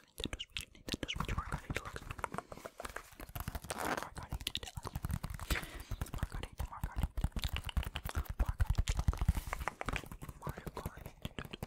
Nintendo Switch, Nintendo Switch, Margarita Deluxe. Margarita Deluxe. Margarita, Margarita. Margarita Mario Kart. Deluxe.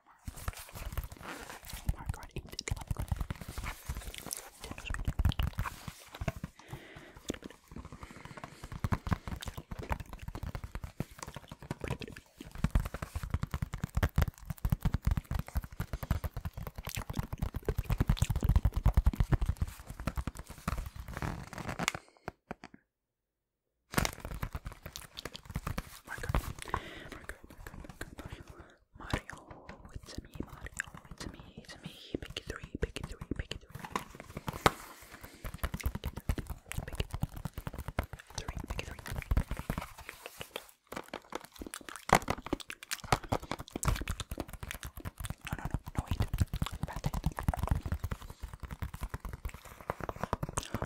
Oh my god, eat it. Oh my god. My God, my God, my God, my God, my God, Mario, it's me, Mario, it's me, it's me, pick three, pick three, three. Pick it, three, No, no, no, no, wait.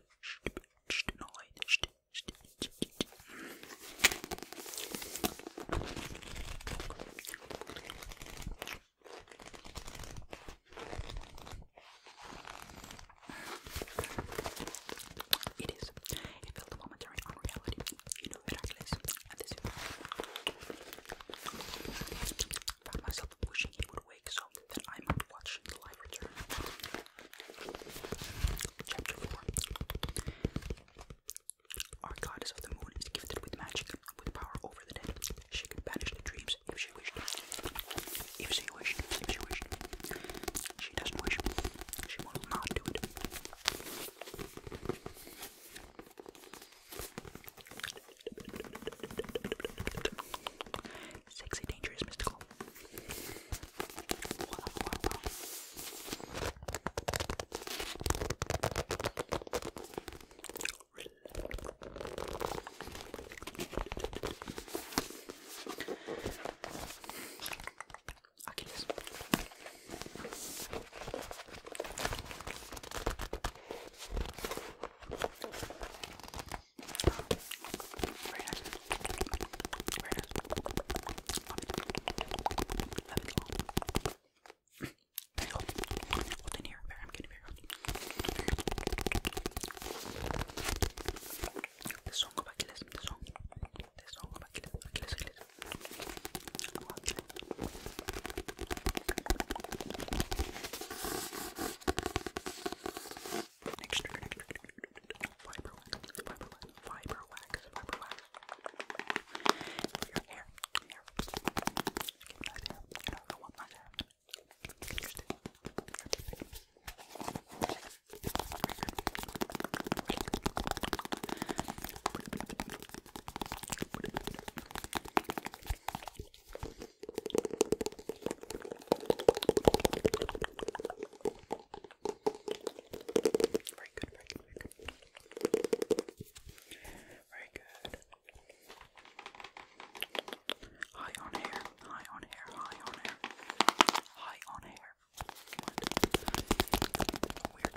It is. It felt a momentary unreality. You know, miraculous. And this is found myself wishing he would wake so that I might watch the light return. Chapter 4 Our goddess of the moon is gifted with magic, with power over the dead. She could banish the dreams if she wished. If she wished, if she wished. She doesn't wish. She will not do it. Sexy, dangerous, mystical. Wow, wow, wow. Achilles. Very nice. Very nice. Love it. Love it all. Very hot. Hot in here. Very, I'm getting very hot. The song of Achilles. The song. The song of Achilles. Achilles, Achilles. Oh, Achilles. Next trigger, next trigger, fiber wax, fiber wax, fiber wax, fiber wax. For your hair, hair. Keep nice hair. You know, I want nice hair. Interesting. Interesting. Very good, very good, very good. Very good. High on hair, high on hair, high on hair. High on hair. Weird.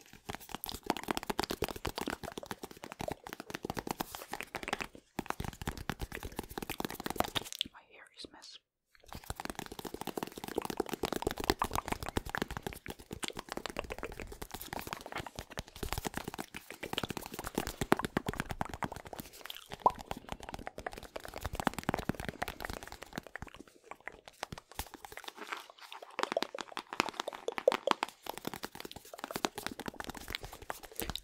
My hair is mess.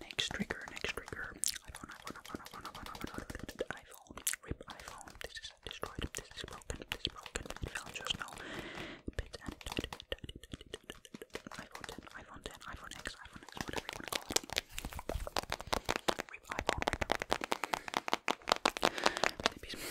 Next trigger, next trigger. iPhone, iPhone, iPhone, iPhone, iPhone, iPhone, iPhone, iPhone. Rip iPhone. This is destroyed. This is broken. This is broken. It fell just now. Bit and it, it, it, it, it, it, it, it, iPhone 10, iPhone 10, iPhone X, iPhone X, whatever you want to call it. Rip iPhone. Rip. Rip.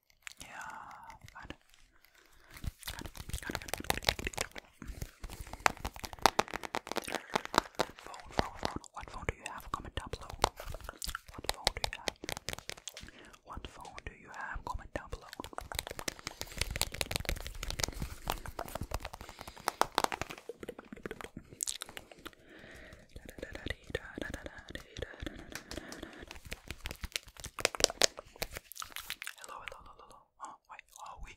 Yeah, good. Good, good, good, good, good, What phone do you have? Comment down below. What phone do you have? What phone do you have? Comment down below. Hello, hello, hello, oh, oh, oui.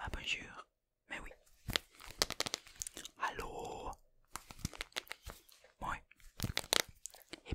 Ah bonjour. Mais oui. Allô. moi, Et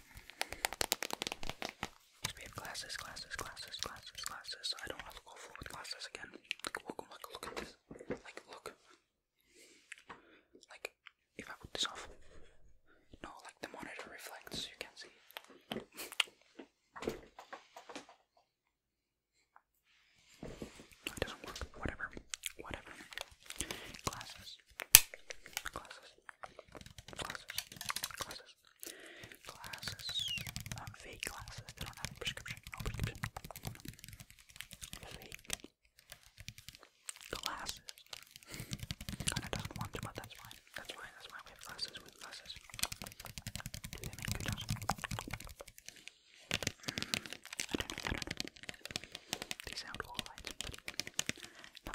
We have glasses, glasses, glasses, glasses, glasses. So I don't have to go full with glasses again. Like, look, look, look at this. Like, look. Like, if I put this off, no, like the monitor reflects, so you can see. No, it doesn't work. Whatever. Whatever. Glasses. Glasses. Glasses. Glasses. Glasses. Um, fake glasses. They don't have a prescription. No prescription. Fake glasses. Kinda doesn't want to, but that's fine. That's fine. That's why we have glasses with glasses. they sound all right,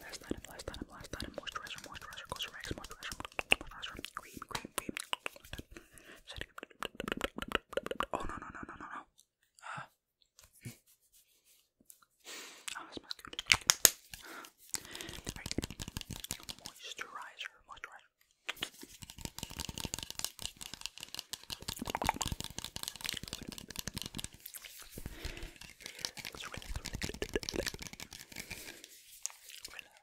Last item, last item, last item, moisturizer, moisturizer, goes rags, moisturizer, moisturizer, cream, cream, cream. Oh no no no no no no. Uh. Oh, this smells good. Right. Moisturizer, moisturizer. Relax, relax, relax. Relax.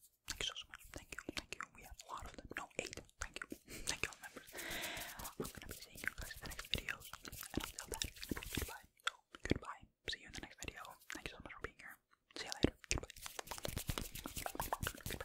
Thank you so, much. Thank you. Thank you. We have a lot of them. No, eight. Thank you. Thank you members. I'm gonna be seeing you guys in the next videos. And until that, goodbye. So goodbye. See you in the next video. Thank you so much for being here. See you later. Goodbye. Bye.